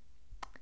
Bullet. Bullet.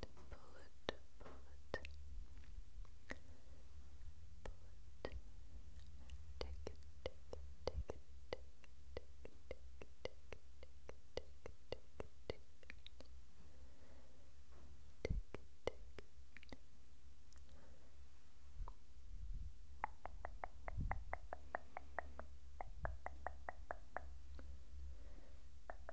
pull it, pull it. Pull it. Take it, take it, take it, take it, take it, take it, take it, take it, take it, take it. Take it, take it. Take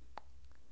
bullet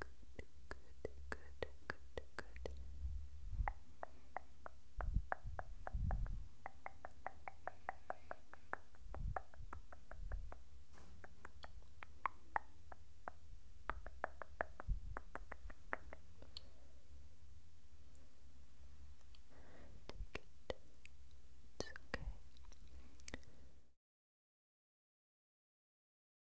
good, good, good, good. Take it. It's okay.